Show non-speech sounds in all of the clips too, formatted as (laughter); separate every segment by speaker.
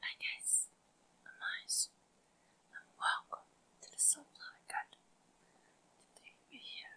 Speaker 1: Hi guys, I'm Miles welcome to the Sunflower Garden. Today we're here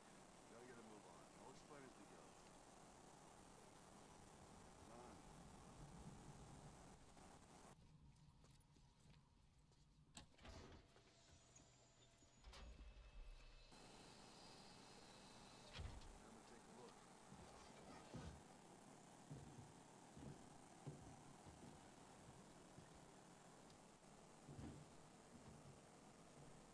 Speaker 2: Look, gotta get a move on. I'll explain as we go. None.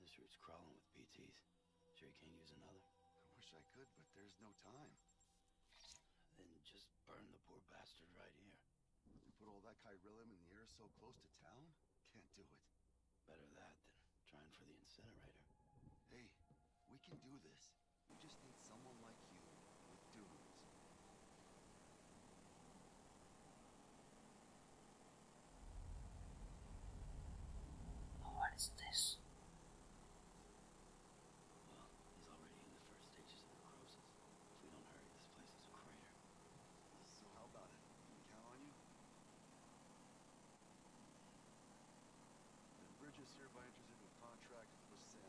Speaker 2: This route's crawling with PTs. Sure you can't use another? I wish I could, but there's no time. Then just burn the poor bastard right here. You put all that Kyrillium in the air so close to town? Can't do it. Better that than trying for the incinerator. Hey, we can do this. We just need someone like you with dudes.
Speaker 1: Oh, what is this?
Speaker 2: Well, he's already in the first stages of necrosis. If we don't hurry, this place is a crater. how about it? Can count on you? The bridge is hereby entered into a contract with Sam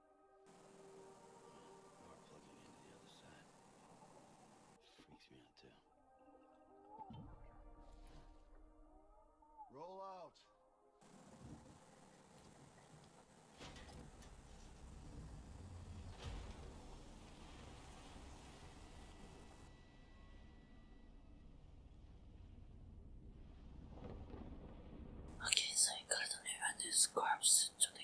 Speaker 2: We're plugging into the other me out too. Roll out.
Speaker 1: Okay, so I got only run this corpse sent to the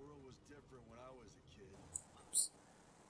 Speaker 2: world was different when I was a kid.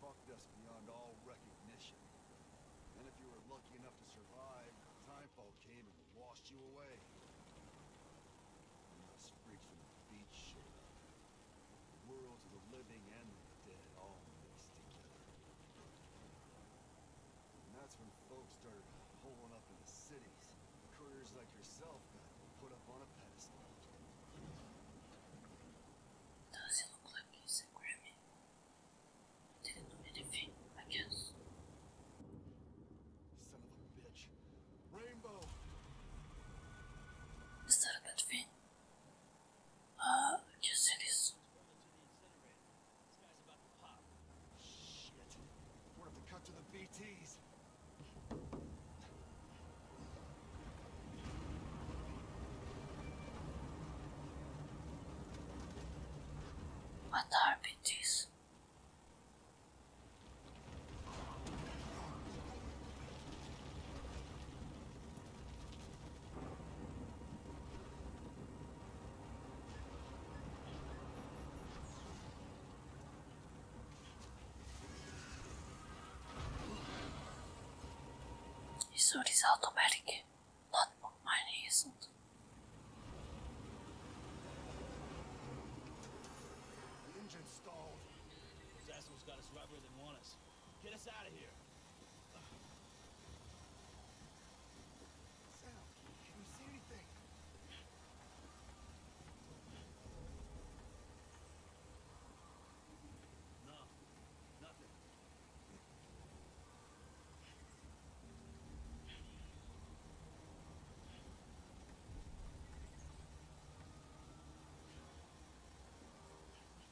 Speaker 2: Fucked us beyond all recognition. And if you were lucky enough to survive, Timefall came and washed you away. And us freaks from the beach showed The worlds of the living and the dead all mixed together. And that's when folks started holing up in the cities. Couriers like yourself
Speaker 1: does it look like he's a Grammy? I didn't do anything, I guess.
Speaker 2: Son of a bitch.
Speaker 1: Rainbow! Is that a bad thing? Uh, I guess it is. What are this? His is automatic, not mine isn't.
Speaker 2: The engine stalled. These assholes got us right where want us. Get us out of here. No, nothing.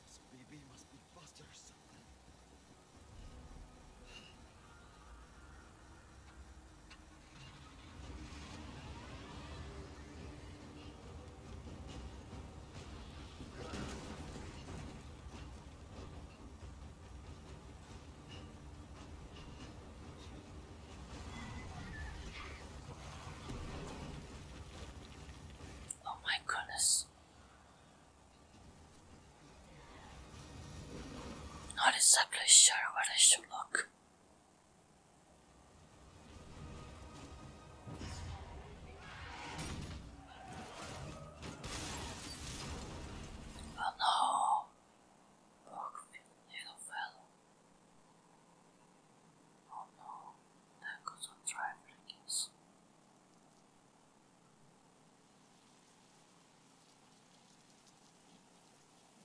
Speaker 2: This baby must be busted or something.
Speaker 1: Oh, my goodness. Not exactly sure where I should look. Oh no, poor little fellow. Oh no, that goes on driving, I guess.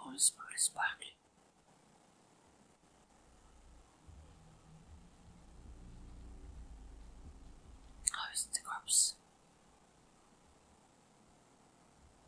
Speaker 1: Oh, it's very sparkly. Oh, it's the crops.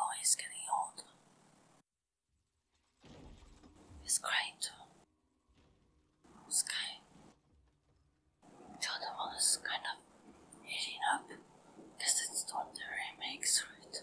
Speaker 1: Oh, he's getting old. He's crying too. Sky. The other one is kind of heating up because it's not the remakes, right?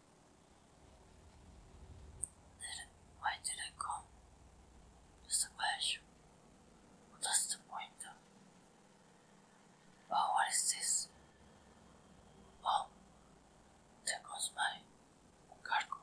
Speaker 1: Did, why did I come? Just a question. What's the point of? Oh, what is this? Oh, there goes my cargo.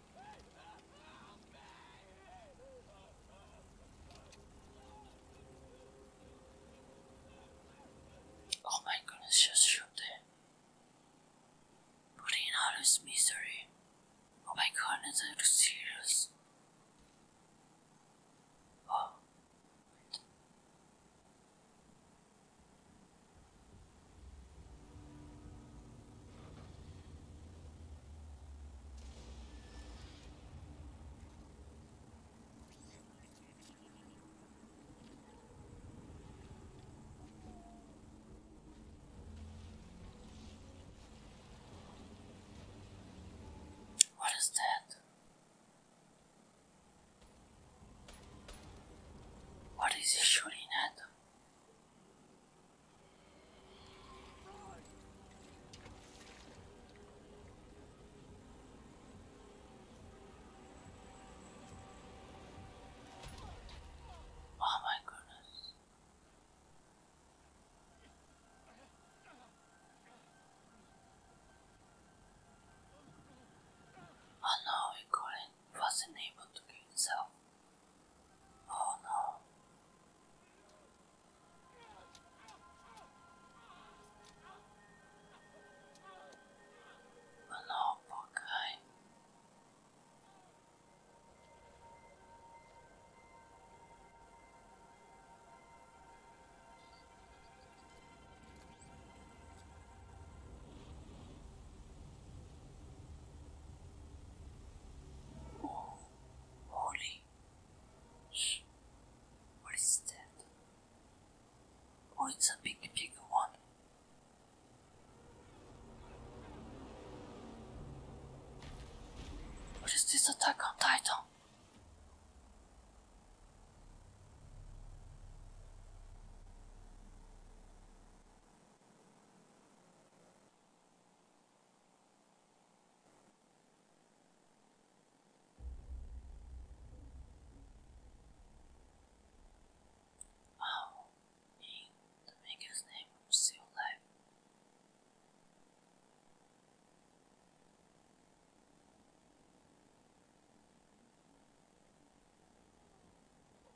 Speaker 1: Oh my goodness, just shoot there. in all this misery. Oh my goodness, are you serious? Oh. What is that? What is he shooting at? Oh my goodness. Oh no, Colin wasn't able to kill himself. Oh no. no, poor holy. What is that? Oh, it's a big, big one. What is this attack on Titan? Oh, and the biggest name of still life.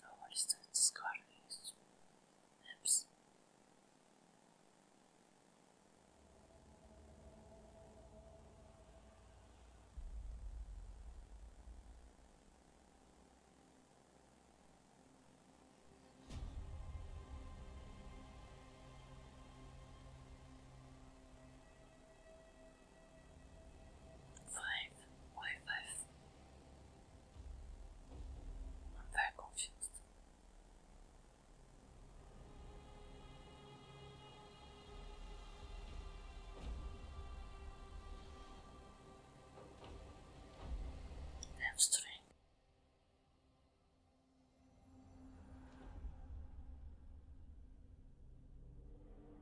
Speaker 1: Довольствует скоростью. Эпс. Five? Why i I'm very confused. Hamstring.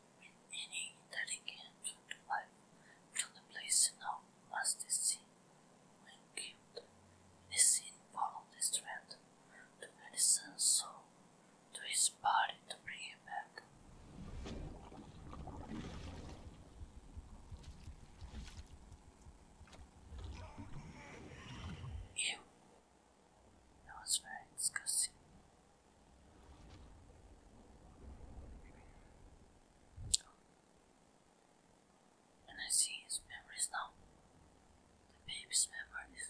Speaker 1: with meaning that it came to from the place known as the sea. When killed, the sea followed the strand to Edison's soul, to his body to bring it back. Ew. That was very disgusting. And I see his memories now. The baby's memories.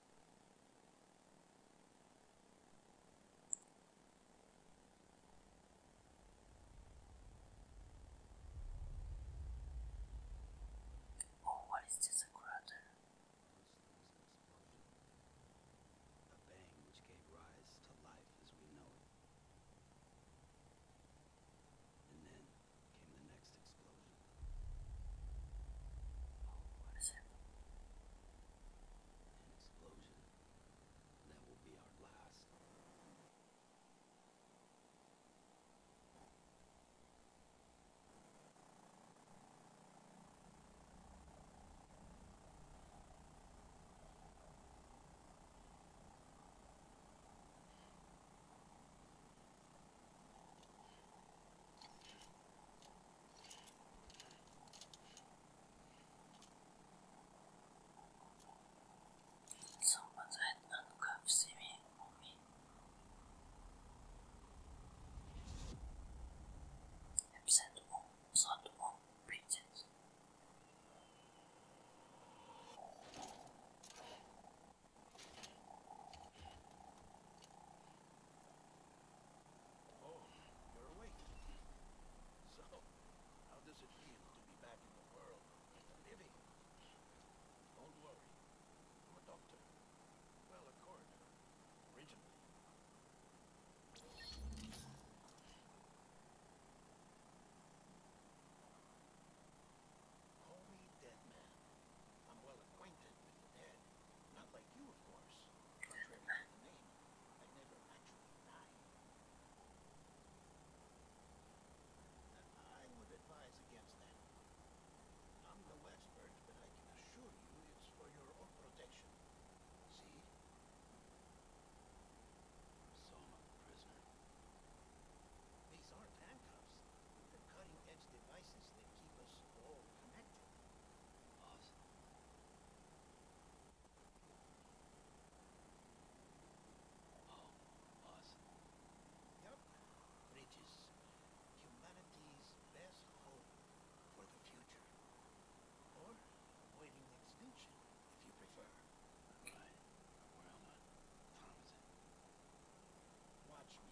Speaker 2: Oh, what is this? crater? A bang which gave rise to life as we know it. And then came the next explosion. Oh, what is happening? An explosion. That will be our last.
Speaker 1: Someone's head handcuffs me on me. Absent all, sort all, preaches.
Speaker 3: Oh, you're awake. So, how does it feel to be back in the world, living? Don't worry. I'm a doctor. Well, a coroner. Originally. Call me Deadman. I'm well acquainted not like you, of course. Contrary to the name, I never actually died. I would advise against that. I'm no expert, but I can assure you it's for your own protection. See? I'm a prisoner. These aren't handcuffs. They're cutting-edge devices that keep us all connected. Awesome. Oh, awesome. Yep. Bridges. Humanity's best hope for the future. Or avoiding extinction, if you prefer. Right. Where am I? Time is it? Watch me.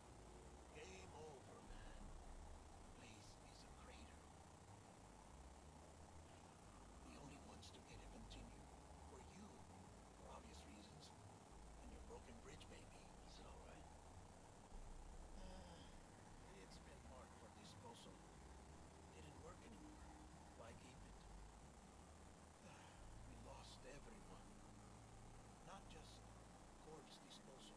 Speaker 3: Game over, man. Place is a crater. The only ones to get it continued were you, for obvious reasons, and your broken bridge baby. Is it all right? (sighs) it's been marked for disposal. Didn't work anymore. Why keep (sighs) We lost everyone. Not just corpse disposal.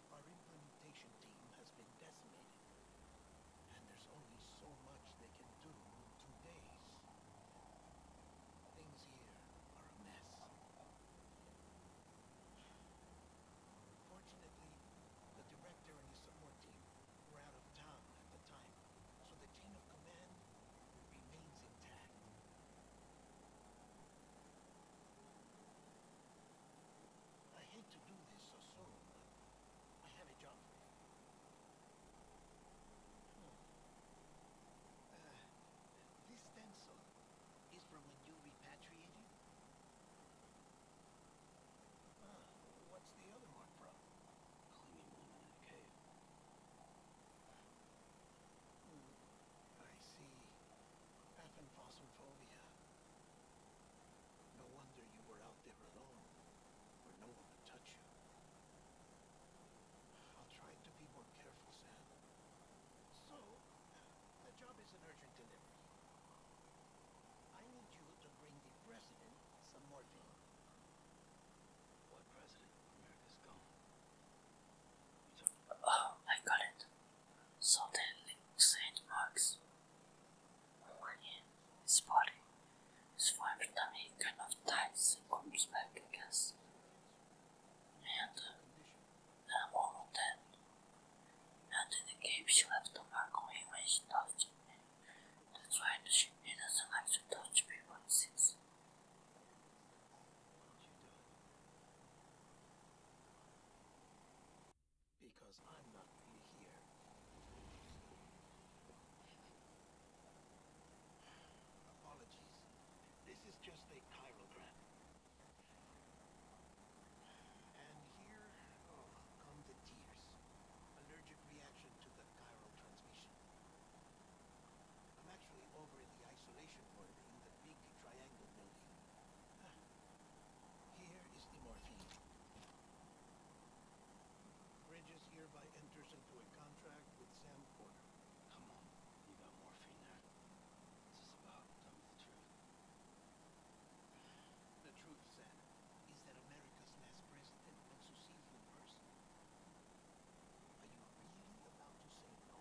Speaker 3: Our implementation team has been decimated. And there's only so much they can do in two days. Things here are a mess. Fortunately, the director and support team were out of town at the time, so the chain of command remains intact. I hate to do this so soon, but I have a job for you. Hmm. Uh, this stencil is from when you repatriated? Ah, what's the other mark from? Clinging woman in a cave. Hmm. I see. Appenfossilphobia. No wonder you were out there alone, where no one would touch you. I'll try to be more careful, Sam. So, the job is an urgent delivery. I need you to bring the president some morphine. What president? America's gone.
Speaker 1: Oh, I got it. Southern Saint On one hand, his body is formed the kind of ties and comes back against and the moment that and in the game she left a mark on when she touched him. That's why she doesn't like to touch people since.
Speaker 3: Because I'm not here. Apologies. This is just a chirogram. And here, oh, come the tears. Allergic reaction to the chiral transmission. I'm actually over in the isolation ward in the big triangle building. Ah, here is the morphine. Bridges hereby enters into a contract with Sam Porter. Come on, you got morphine there. What's this about? Tell me the truth. The truth, Sam, is that America's last president wants to see you in Are you really about to say no?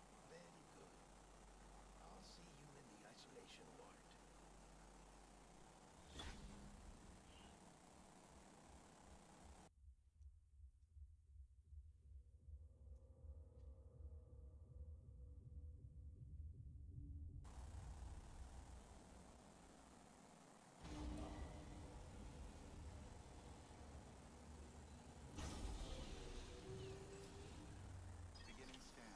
Speaker 3: Very good. I'll see you in the isolation ward.
Speaker 2: Beginning scan.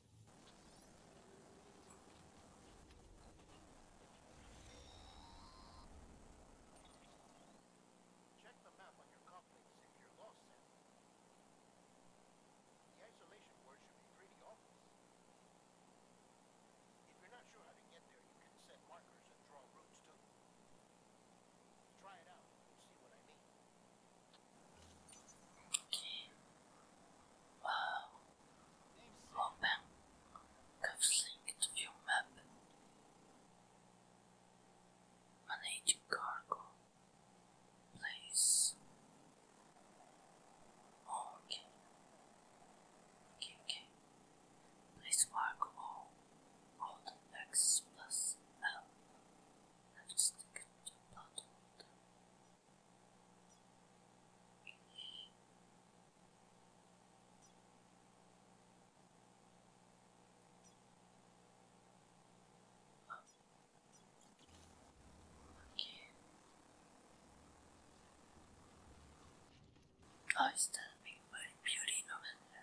Speaker 3: Check the map on your complex if you're lost, Sam. The isolation board should be pretty obvious. If you're not sure how to get there, you can set markers and draw routes too. Try it out and see what I mean.
Speaker 1: Okay. Wow. Open. Cuffs link view map. Manage cargo. Place. okay. Okay, okay. Place cargo. all. Hold X plus L. Left stick to the bottom. Okay. Oh, it's beauty no matter.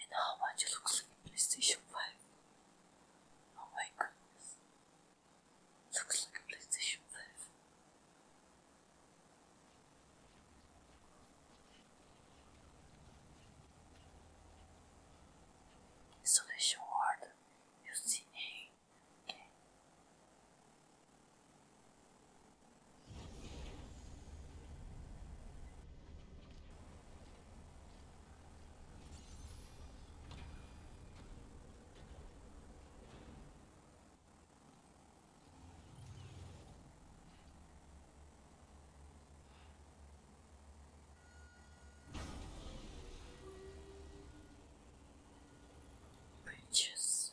Speaker 1: And how much it looks like a PlayStation 5. Oh my goodness. Looks like a PlayStation 5. Installation order UCA. Okay. Bridges.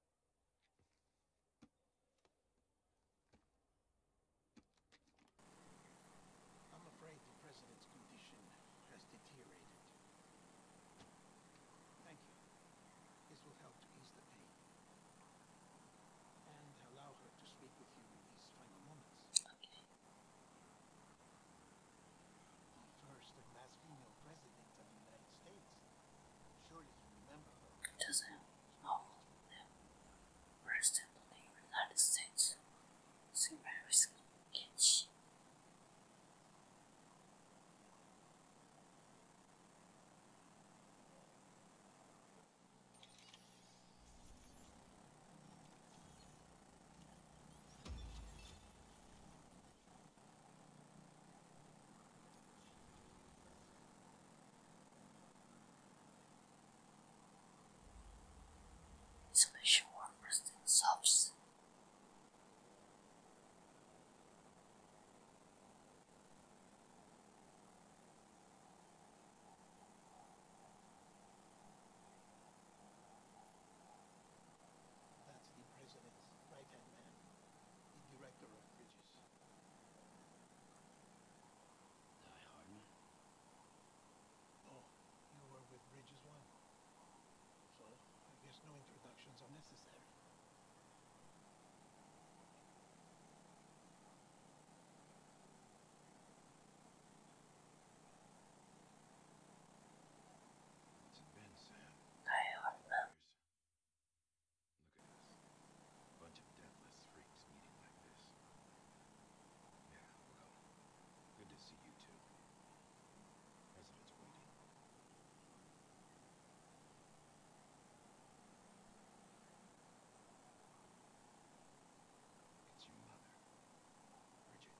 Speaker 3: I'm afraid the president's condition has deteriorated. Thank you. This will help ease the pain. And allow her to speak with you in these final moments. Okay. The first female president of the United States. Surely you remember her. President
Speaker 1: of the United States. Samaris Kitsch. Special workers themselves.
Speaker 3: That's the president's right-hand man, the director of bridges. Die Hardman? Oh, you were with Bridges One. So, I guess no introductions are necessary.
Speaker 2: It's Sam. Hi, Hartman years. Look at us. A bunch of deathless freaks meeting like this. Yeah, well, good to see you too. President's waiting.
Speaker 3: It's your mother, Bridget.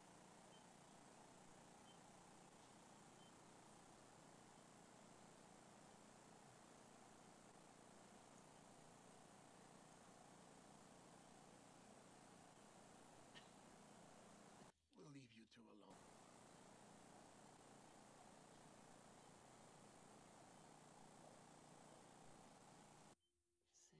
Speaker 3: We'll leave you two alone.
Speaker 2: Sam,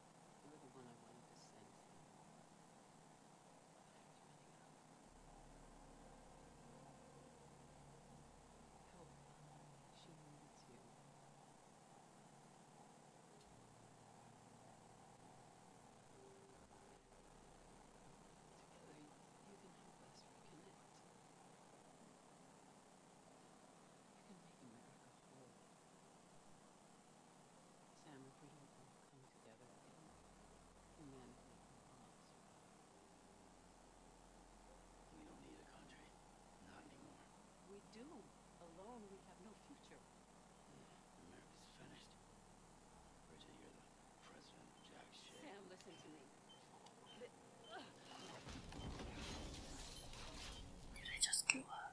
Speaker 2: You're the one I wanted to send to. Help. She needs you. Together, you can help us reconnect. Sam, we don't come together,
Speaker 3: I We
Speaker 2: don't need a country. Not
Speaker 3: anymore. We do. Alone, we have no future.
Speaker 2: America's finished. Bridget, you're the president jack Sam, listen to me. Did
Speaker 1: I just go up?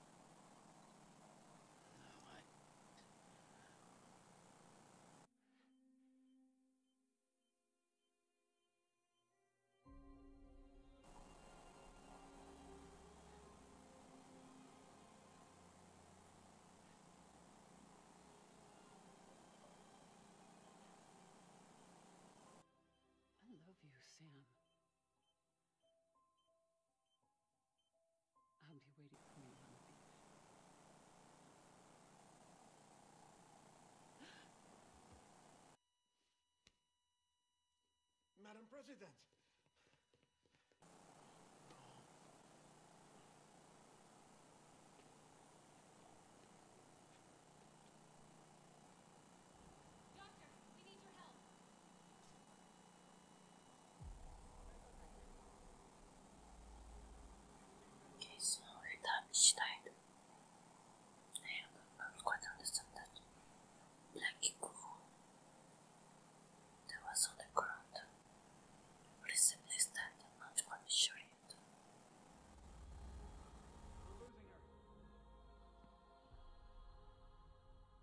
Speaker 2: I love you, Sam. I'll be waiting for you
Speaker 3: Madam President.
Speaker 1: Okay, so 일단 시다이드 네, 여러분 관련됐습니다. Black 있고 There was on the ground Recently standing, not quite sure yet.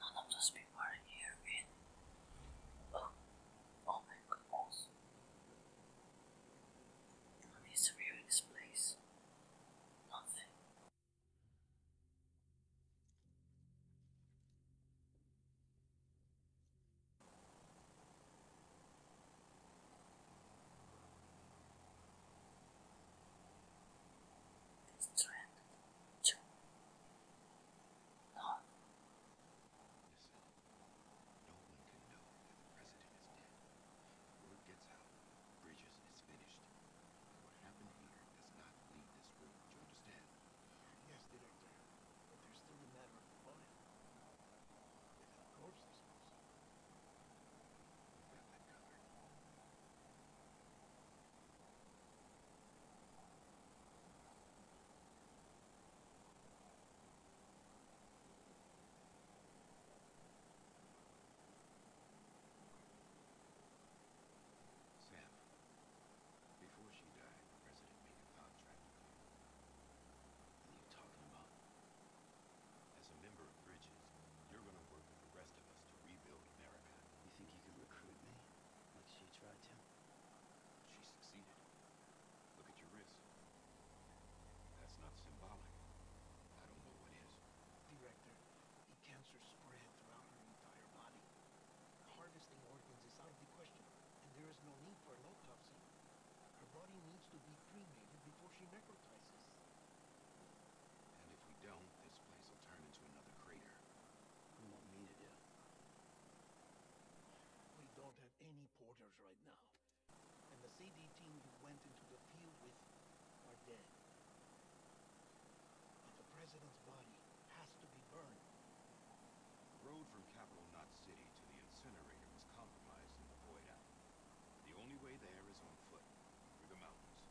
Speaker 1: none of those people are here oh, oh my goodness. What is real in this place? Nothing. This trend, not. No one can
Speaker 2: know the president is dead. Word gets out. Bridges is finished. what happened here does not leave this room. you understand?
Speaker 3: Yes, Director. But there's still the matter of the body. If the corpse disposal. covered. Sam,
Speaker 2: before she died, President made a contract with you. What are you talking about? As a member of Bridges, you're gonna work with the rest of us to rebuild America. You think you can recruit me? Like she tried to? She
Speaker 3: succeeded. Look at your wrist. That's not symbolic. I don't know what is. Director, the cancer spread throughout her entire body. Harvesting organs is out of the question, and there is no need for an autopsy. Her body needs to be cremated before she necrotizes.
Speaker 2: And if we don't, this place will turn into another crater.
Speaker 3: We don't have any porters right now. And the CD team you went into the field with are dead. the President's body has to be burned. road
Speaker 2: from Capital Knot City to the incinerator was compromised in the void The only way there is on foot, through the mountains.